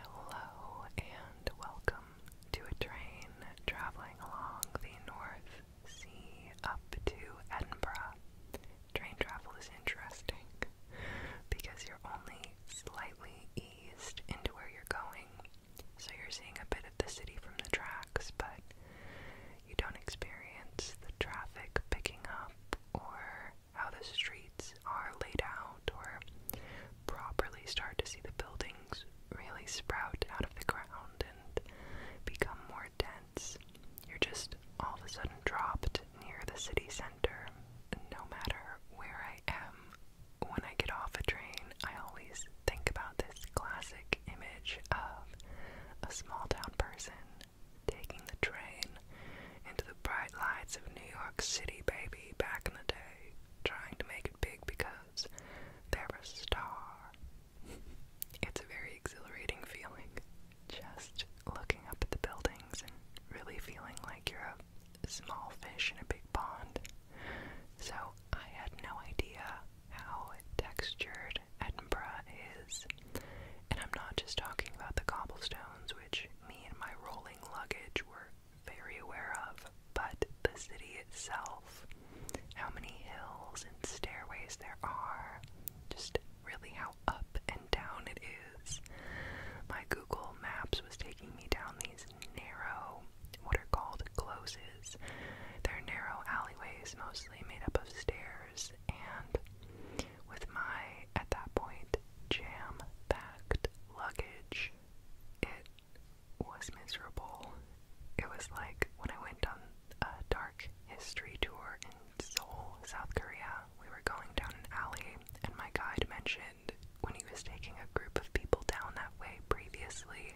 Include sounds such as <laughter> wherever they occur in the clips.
Hello and welcome to a train traveling along the North Sea up to Edinburgh. Train travel is interesting because you're only slightly eased into where you're going, so you're seeing a bit of the city from the tracks, but you don't experience the traffic picking up or how the streets are laid out or properly start to see the buildings really sprout out of the ground and become more dense. You're just all of a sudden dropped near the city center. No matter where I am, when I get off a train, I always think about this classic image of a small town person taking the train into bright lights of New York City, baby, back in the day, trying to make it big because they're a star. it's a very exhilarating feeling. Just looking up at the buildings and really feeling like you're a small fish in a big pond. So I had no idea how textured Edinburgh is. And I'm not just talking about the cobblestones, which me and my rolling luggage were very aware of, but the city itself, how many hills and stairways there are, just really how up and down it is. My Google Maps was taking me down these narrow, what are called closes. They're narrow alleyways, mostly made up of stairs, and with my, at that point, jam packed luggage. It was miserable. It was like when I went on a dark history tour in Seoul, South Korea. We were going down an alley, and my guide mentioned when he was taking a group of people down that way previously,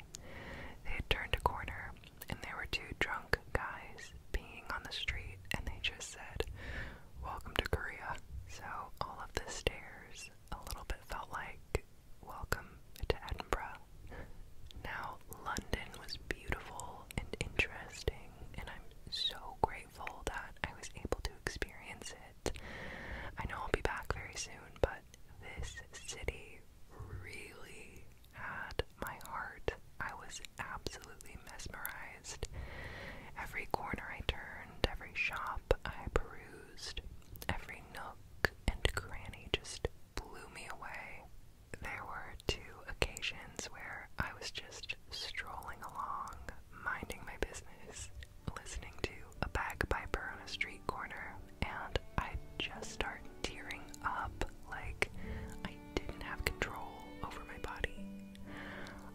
they had turned a corner and there were two drunk guys being on the street, and they just said, welcome to Korea. So all of the stairs a little bit felt like welcome to Edinburgh. Now, London was beautiful and interesting, and I'm so grateful that I was able to experience it. I know I'll be back very soon, but this city really had my heart. I was absolutely mesmerized Every corner I turned, every shop I perused, every nook and cranny just blew me away. There were two occasions where I was just strolling along, minding my business, listening to a bagpiper on a street corner, and I just start tearing up like I didn't have control over my body.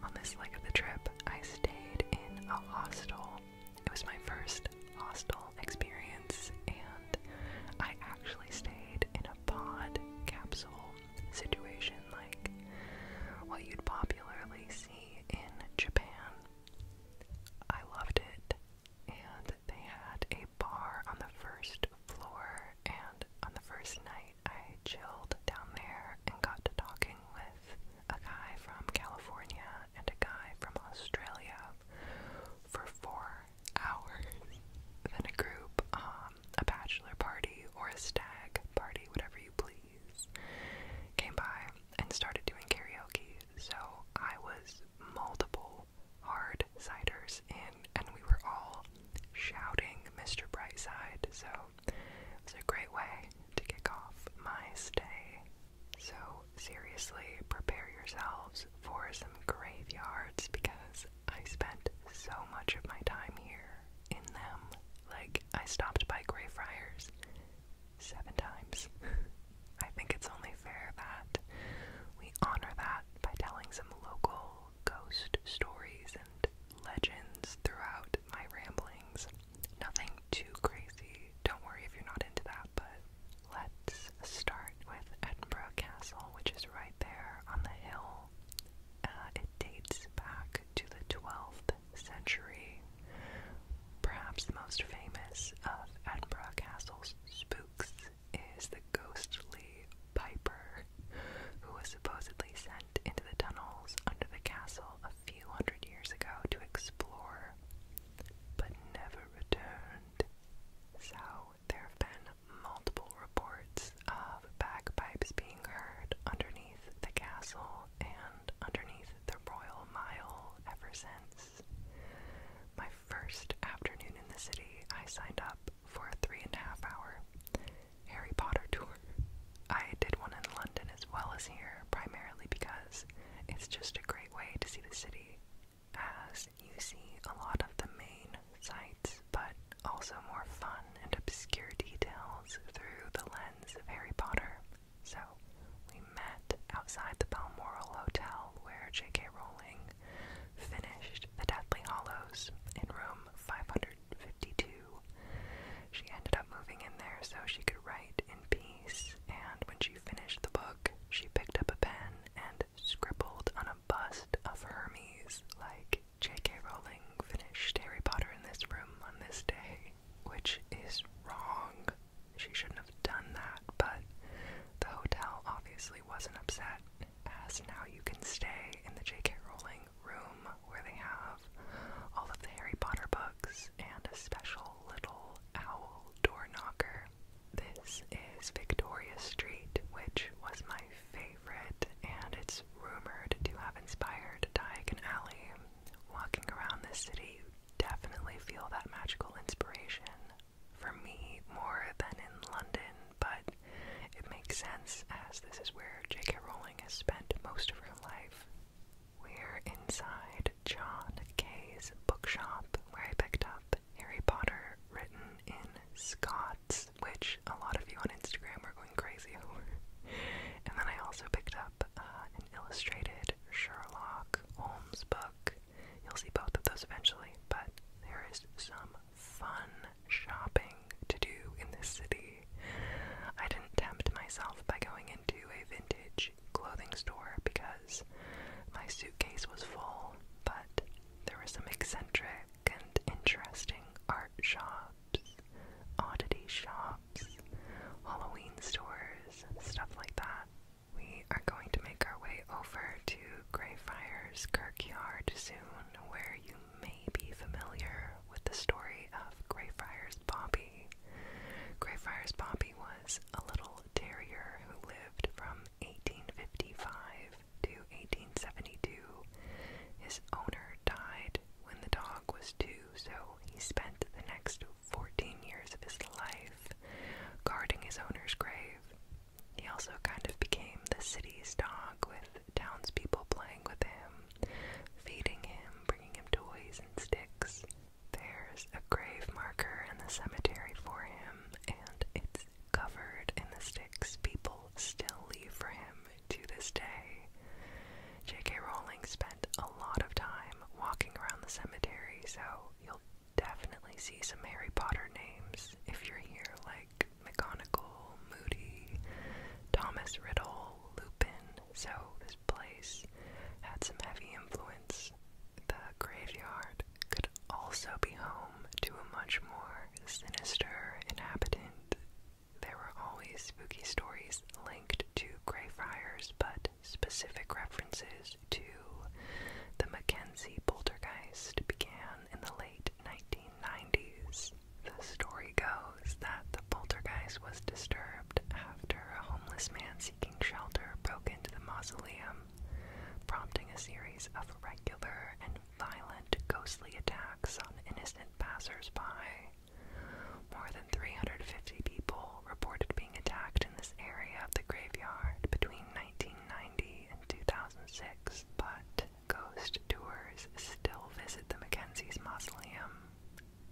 On this leg of the trip, I stayed in a hostel. It was my first hostel experience, and I actually stayed in a pod capsule situation like what you'd popularly see in Japan. I loved it, and they had a bar on the first floor, and on the first night. I chilled down there and got to talking with a guy from California and a guy from Australia for four hours. then a group, um, a bachelor party or a stag party, whatever you please, came by and started doing karaoke. So I was multiple hard ciders in, and we were all shouting Mr. Brightside. So it's a great way to kick off my stay. So, seriously, prepare yourselves for some graveyards because I spent so much of my time here in them. Like, I stopped by Greyfriars seven times. <laughs> I think it's only fair that we honor that by telling some local ghost stories and legends throughout my ramblings. Nothing too crazy. Don't worry if you're not into that, but let's start with Edinburgh Castle, which is right there on the hill. Uh, it dates back to the 12th century. Perhaps the most famous of Edinburgh Castle's spooks is the ghostly Piper, who was supposedly sent into the tunnels under the castle a few hundred years ago to explore, but never returned. So, there have been multiple reports of bagpipes being heard underneath the castle and underneath the Royal Mile ever since. My first afternoon in the city, I signed up for a three and a half hour Harry Potter tour. I did one in London as well as here, primarily because it's just a great way to see the city, as you see a lot of the main sights, but also more fun and obscure details through the lens of Harry Potter. So, we met outside the Balmoral Hotel where J.K. Rowling finished The Deathly Hollows in room 500 152. She ended up moving in there so she could write in peace, and when she finished the book, she picked up a pen and scribbled on a bust of Hermes, like J.K. Rowling finished Harry Potter in this room on this day, which is wrong. She shouldn't have done that, but the hotel obviously wasn't upset as now you can stay in the J.K. Rowling room where they have all of the Harry Potter books and a special little owl door knocker. This is Victoria Street, which was my favorite, and it's rumored to have inspired Diagon Alley. Walking around this city, you definitely feel that magical inspiration. For me, more than in London but it makes sense as this is where J.K. Rowling has spent most of her life. We're inside John Kay's bookshop, where I picked up Harry Potter written in Scots, which a lot of you on Instagram are going crazy over. And then I also picked up uh, an illustrated Sherlock Holmes book. You'll see both of those eventually, but there is some fun shopping to do in this city. I didn't tempt myself by going into a vintage clothing store because my suitcase was full, but there were some eccentric and interesting art shops, oddity shops, Halloween stores, stuff like that. We are going to make our way over to Greyfriars Kirkyard soon, where you may be familiar with the story of Greyfriars Bobby. Greyfriars Bobby was a little terrier who lived from 1855 to 1872. His owner died when the dog was two, so he spent the next 14 years of his life guarding his owner's grave. He also kind of became the city's dog, with townspeople playing with him, feeding him, bringing him toys and sticks. There's a grave marker in the cemetery for him, and it's covered in the sticks people still leave for him to this day. J.K. Rowling spent a lot of time walking around the cemetery, so you'll definitely see some Harry Potter names if you're here, like McGonagall, Moody, Thomas Riddle, Lupin. So this place had some heavy influence. The graveyard could also be home to a much more sinister inhabitant. There were always spooky stories linked to Greyfriars, but specific references to the Mackenzie poltergeist began in the late 1990s. The story goes that the poltergeist was disturbed after a homeless man seeking shelter broke into the mausoleum, prompting a series of regular and violent ghostly attacks on innocent passersby. More than 350 people reported being attacked in this area of the graveyard between 1990 in 2006, but ghost tours still visit the Mackenzie's mausoleum.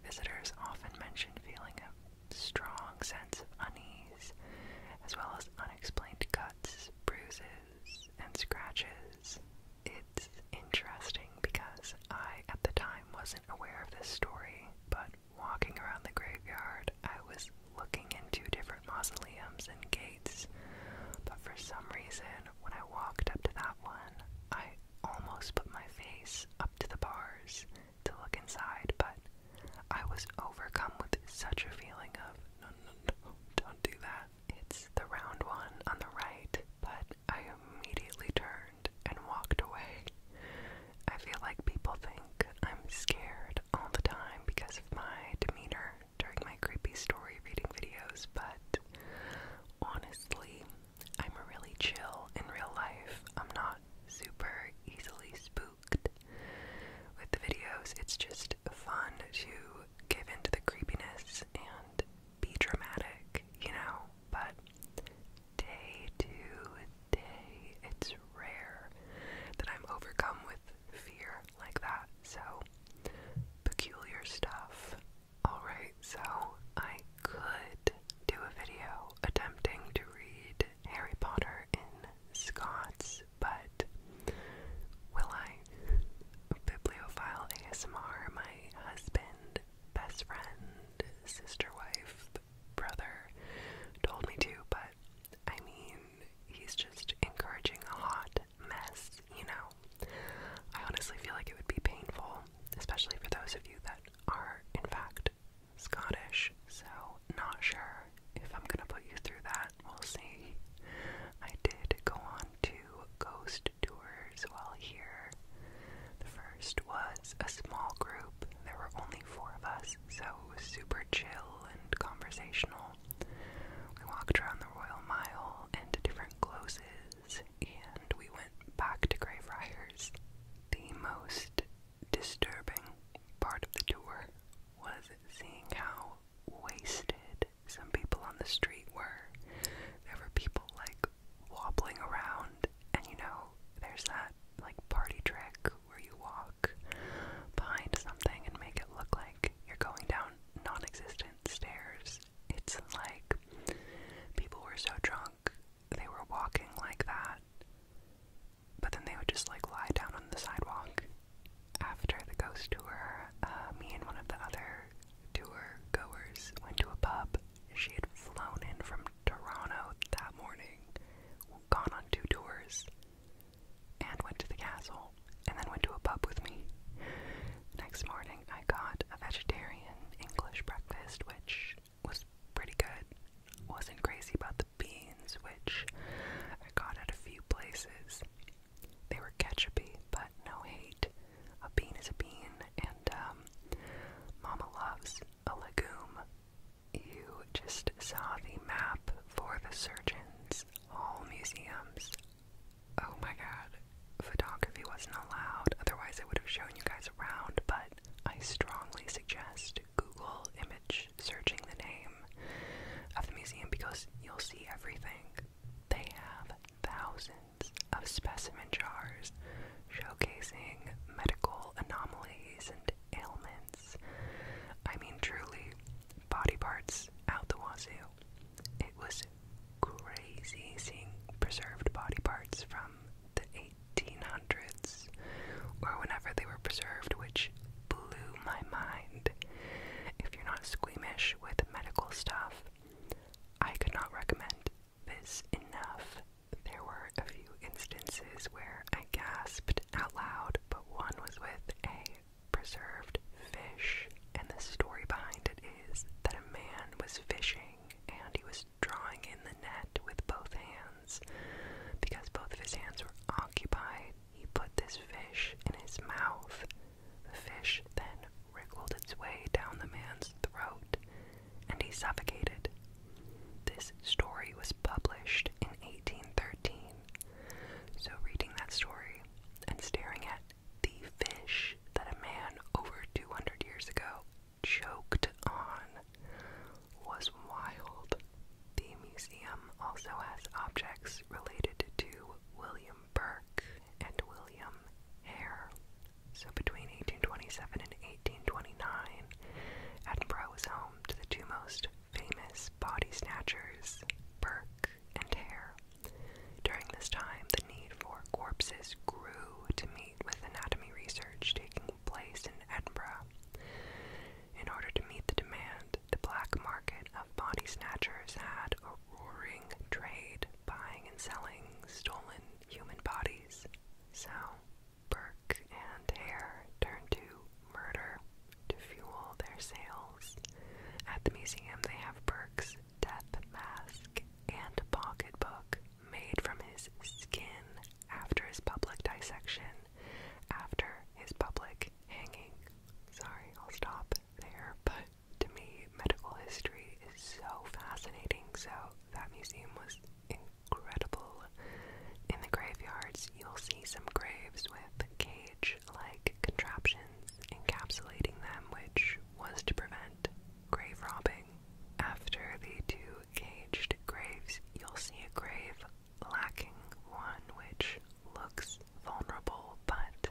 Visitors often mention feeling a strong sense of unease, as well as unexplained cuts, bruises, and scratches. It's interesting because I, at the time, wasn't aware of this story, but walking around the graveyard, I was looking into different mausoleums and gates, but for some reason, when I walked up to that one, I almost put my face up to the bars to look inside, but I was overcome with such a feeling of no, no, don't do that. It's the round one on the right, but I immediately turned and walked away. I feel like people think I'm scared all the time because of my demeanor during my creepy story reading videos, but honestly, I'm really chill in real life. I'm not super easily spooked with the videos. It's just fun to give into the creepiness and be dramatic, you know? But day to day, it's rare that I'm overcome with fear like that. So, peculiar stuff. Alright, so I could do a video attempting to read Harry Potter in Scots, but will I? Bibliophile ASMR, my husband, best friend, sister wife, brother told me to, but I mean, he's just encouraging a hot mess, you know. I honestly feel like it would be painful, especially for those of you that are, in fact, Scottish. So, not sure if I'm gonna put you through that. We'll see. I did go on two ghost tours while here. The first was a small group, there were only four of us so it was super chill and conversational. We walked around the Royal Mile and different closes, and we went back to Greyfriars. The most disturbing part of the tour was seeing how wasted some people on the street were. There were people like wobbling around, and you know, there's that like party trick where you walk behind something and make it look like you're going down non existent stairs. It's like people were so drunk, they were walking like that, but then they would just like lie down on the sidewalk. After the ghost tour, uh, me and one of the other tour goers went to a pub. She had flown in from Toronto that morning, gone on two tours, and went to the castle, and then went to a pub with me. Next morning, I got a vegetarian English breakfast, which was pretty good. Wasn't crazy about the beans, which I got at a few places. They were ketchupy, but no hate. A bean is a bean, and um, Mama loves a legume. You just saw the map for the surgeons, all museums. Oh my god, photography wasn't allowed, otherwise, I would have shown you guys around, but I strongly suggest Google image searching the name of the museum because you'll see everything. They have thousands of specimen jars showcasing medical anomalies and ailments. I mean, truly, body parts out the wazoo. It was crazy seeing preserved body parts from the 1800s or whenever they were preserved, which blew my mind. If you're not squeamish with medical stuff, I could not recommend this enough. There were a few instances where I gasped out loud, but one was with a preserved fish, and the story behind it is that a man was fishing and he was drawing in the net with both hands. Because both of his hands were occupied, he put this fish in his mouth. The fish then wriggled its way down the man's throat and he suffocated. This story was published in 1813. So, reading that story and staring at the fish that a man over 200 years ago choked on was wild. The museum also has objects related to William Burke and William Hare. So between 1827 and 1829, Edinburgh was home to the two most famous body snatchers, Burke and Hare. During this time, the need for corpses grew to meet with anatomy research taking place in Edinburgh. In order to meet the demand, the black market of body snatchers had a roaring trade, buying and selling stolen human bodies. So, Burke and Hare turned to murder to fuel their sales. At the museum, they have Burke's death mask and pocketbook made from his skin after his public dissection, after his public hanging. Sorry, I'll stop there, but to me, medical history is so fascinating, so that museum was incredible. In the graveyards, you'll see some graves with cage like contraptions encapsulating them, which was to prevent grave robbing. After the two caged graves, you'll see a grave lacking one which looks vulnerable, but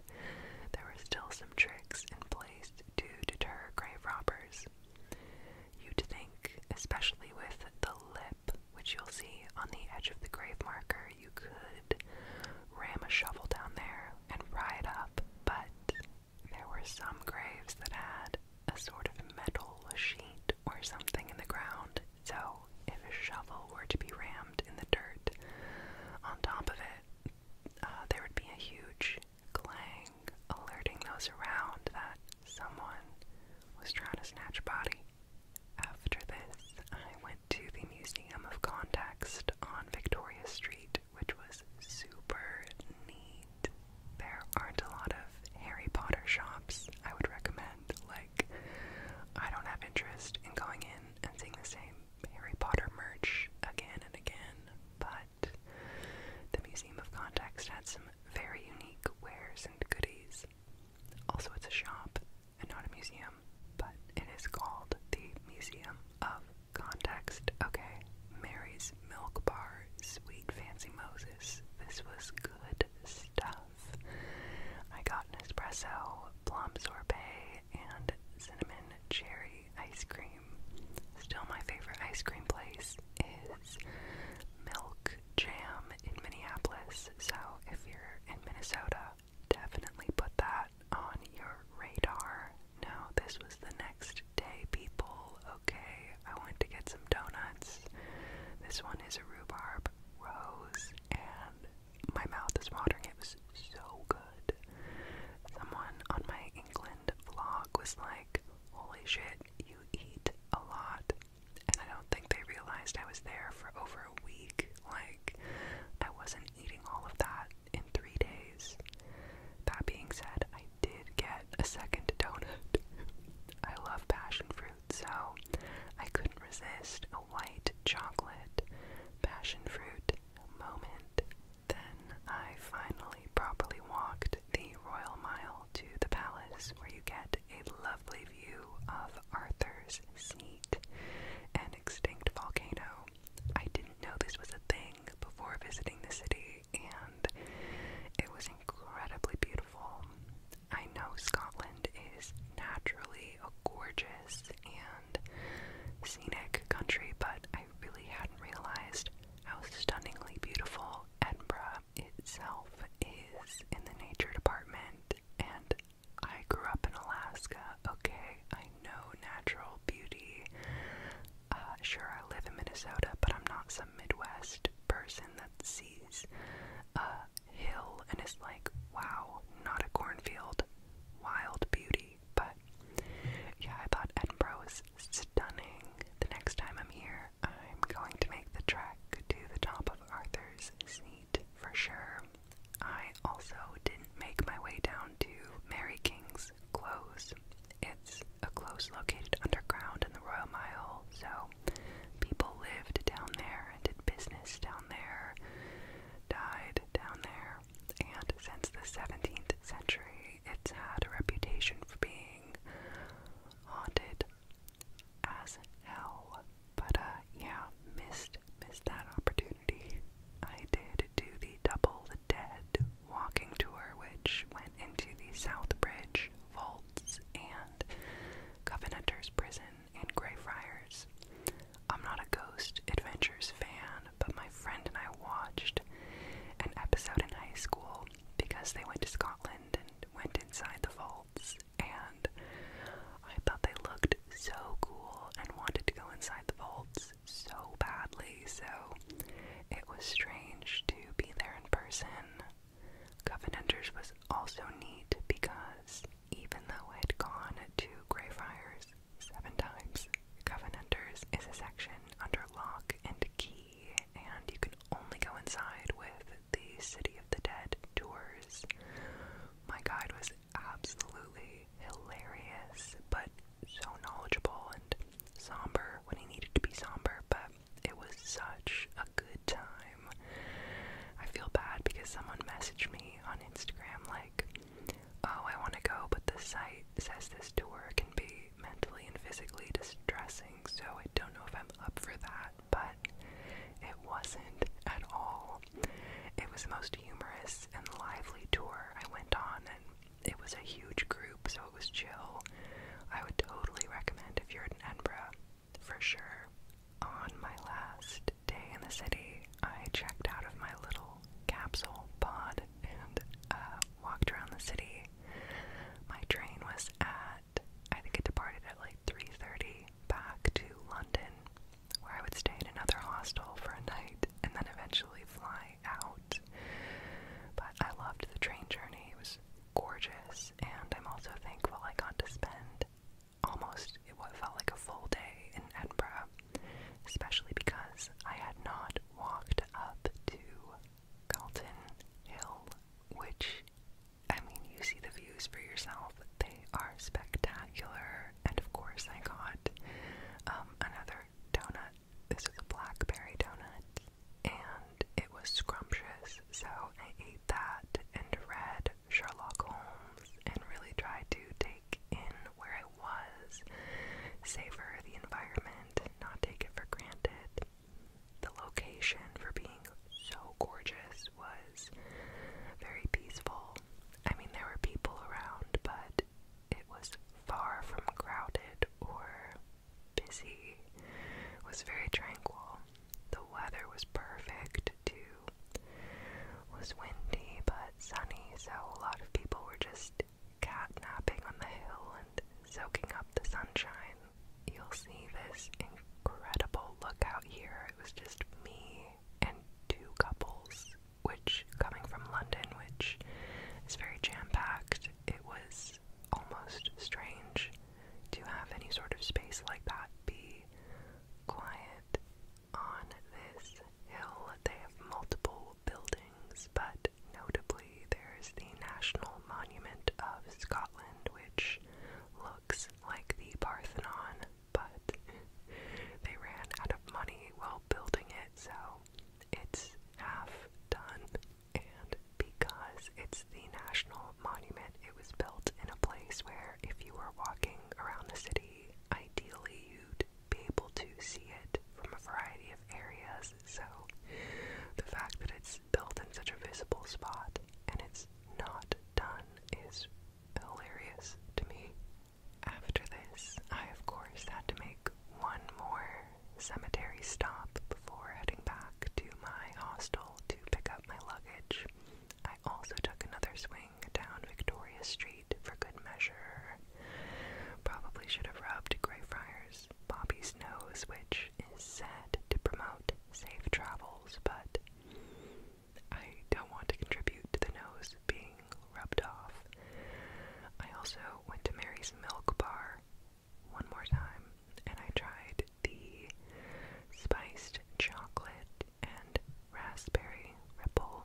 there were still some tricks in place to deter grave robbers. You'd think, especially with the lip, which you'll see on the edge of the grave marker, you could ram a shovel down there and pry it up, but there were some graves that had a sort of metal sheet or something in the ground, so if a shovel were to be rammed in the dirt on top of it, uh, there would be a huge clang, alerting those around that someone was trying to snatch a body. After this, I went to the Museum of Context on Victoria Street, which was super neat. There aren't a lot of Harry Potter shops I would recommend. Like, I don't have interest in going in and seeing the same Harry Potter merch again and again, but the Museum of Context had some very unique wares and goodies. Also, it's a shop and not a museum, but it is called the Museum of Context. Okay, Mary's Milk Bar, Sweet Fancy Moses. This was good stuff. I got an espresso, plum sorbet, and cinnamon cherry ice cream. Still, my favorite ice cream place is Milk Jam in Minneapolis. So, if you're in Minnesota, definitely put that on your radar. Now, this was the next day, people. Okay, I went to get some donuts. This one is a rhubarb rose, and my mouth is watering. It was so good. Someone on my England vlog was like, Holy shit, you eat a lot. And I don't think they realized I was there for over a week. Like, I wasn't eating all of that in three days. That being said, I did get a second donut. I love passion fruit, so I couldn't resist a white chocolate passion fruit moment. Then I finally properly walked the Royal Mile to the palace, where you get a lovely view of Arthur's Seat, an extinct volcano. I didn't know this was a thing before visiting the city, and it was incredibly beautiful. I know Scotland is naturally a gorgeous and scenic country, but I I really hadn't realized how stunningly beautiful Edinburgh itself is in the nature department. And I grew up in Alaska, okay? I know natural beauty. Uh, sure, I live in Minnesota, but I'm not some Midwest person that sees a hill and is like, wow, not a cornfield. Wild beauty. But yeah, I thought Edinburgh was is stunning. The next time I'm here, I'm going to make the trek to the top of Arthur's Seat for sure. I also didn't make my way down to Mary King's Close. It's a close located underground in the Royal Mile, so people lived down there and did business down there, died down there, and since the 17th century, it's had a reputation for being haunted as hell. But uh, yeah, missed missed that opportunity. I did do the Double the Dead walking tour, which went into the Southbridge Vaults and Covenanters Prison in Greyfriars. I'm not a ghost adventures fan, on, but my friend and I watched an episode in high school because they went to Scotland and went inside the vaults, and I thought they looked so cool and wanted to go inside the vaults so badly, so it was strange to be there in person. Covenanters was also neat because even though I'd gone to Greyfriars seven times. Covenanters is a section under lock and key, and you can only go inside with the City of the Dead tours. My guide was absolutely hilarious, but so knowledgeable and somber when he needed to be somber, but it was such a good time. I feel bad because someone messaged me on Instagram, like, oh, I want to go, but the site says this tour can be mentally and physically distressing, so I don't know if I'm up for that, but it wasn't at all. It was the most humorous and lively tour I went on, and it was a huge group, so it was chill. I would totally recommend if you're in Edinburgh, for sure. On my last day in the city, I checked out of my little capsule pod and uh, walked around the city. My train was at, I think it departed at like 3.30 back to London, where I would stay in another hostel for a night and then eventually fly out. But I loved the train journey. It was gorgeous, and I'm also thankful I got to spend almost what felt like a full day in Edinburgh especially because I had not walked up to Galton Hill, which, I mean, you see the views for yourself. They are spectacular. And of course, I got um, another donut. This was a blackberry donut, and it was scrumptious. So I ate that and read Sherlock Holmes and really tried to take like in where I was, savor the environment, not take it for granted. The location for being so gorgeous was very peaceful. I mean, there were people around, but it was far from crowded or busy. It was very tranquil. The weather was perfect too. It was windy but sunny, so a lot of people were just catnapping on the hill and soaking up the sunshine. You'll see this incredible look out here. It was just me and two couples, which, coming from London, which is very jam packed, it was almost strange to have any sort of space like that be quiet on this hill. They have multiple buildings, but notably there's the National Monument of Scotland, which looks like the Parthenon, but <laughs> they ran out of money while building it, so it's half done. And because it's the National Monument, it was built in a place where if you were walking around the city, ideally you'd be able to see it from a variety of areas. So the fact that it's built in such a visible spot and it's not done is hilarious to me. After this, I of course had to make one more cemetery stop before heading back to my hostel to pick up my luggage. I also took another swing down Victoria Street for good measure. Probably should have rubbed Greyfriars Bobby's nose, which is said to promote safe travels, but I don't want to contribute to the nose being rubbed off. I also went to Mary's Milk Bar one more time and I tried the spiced chocolate and raspberry ripple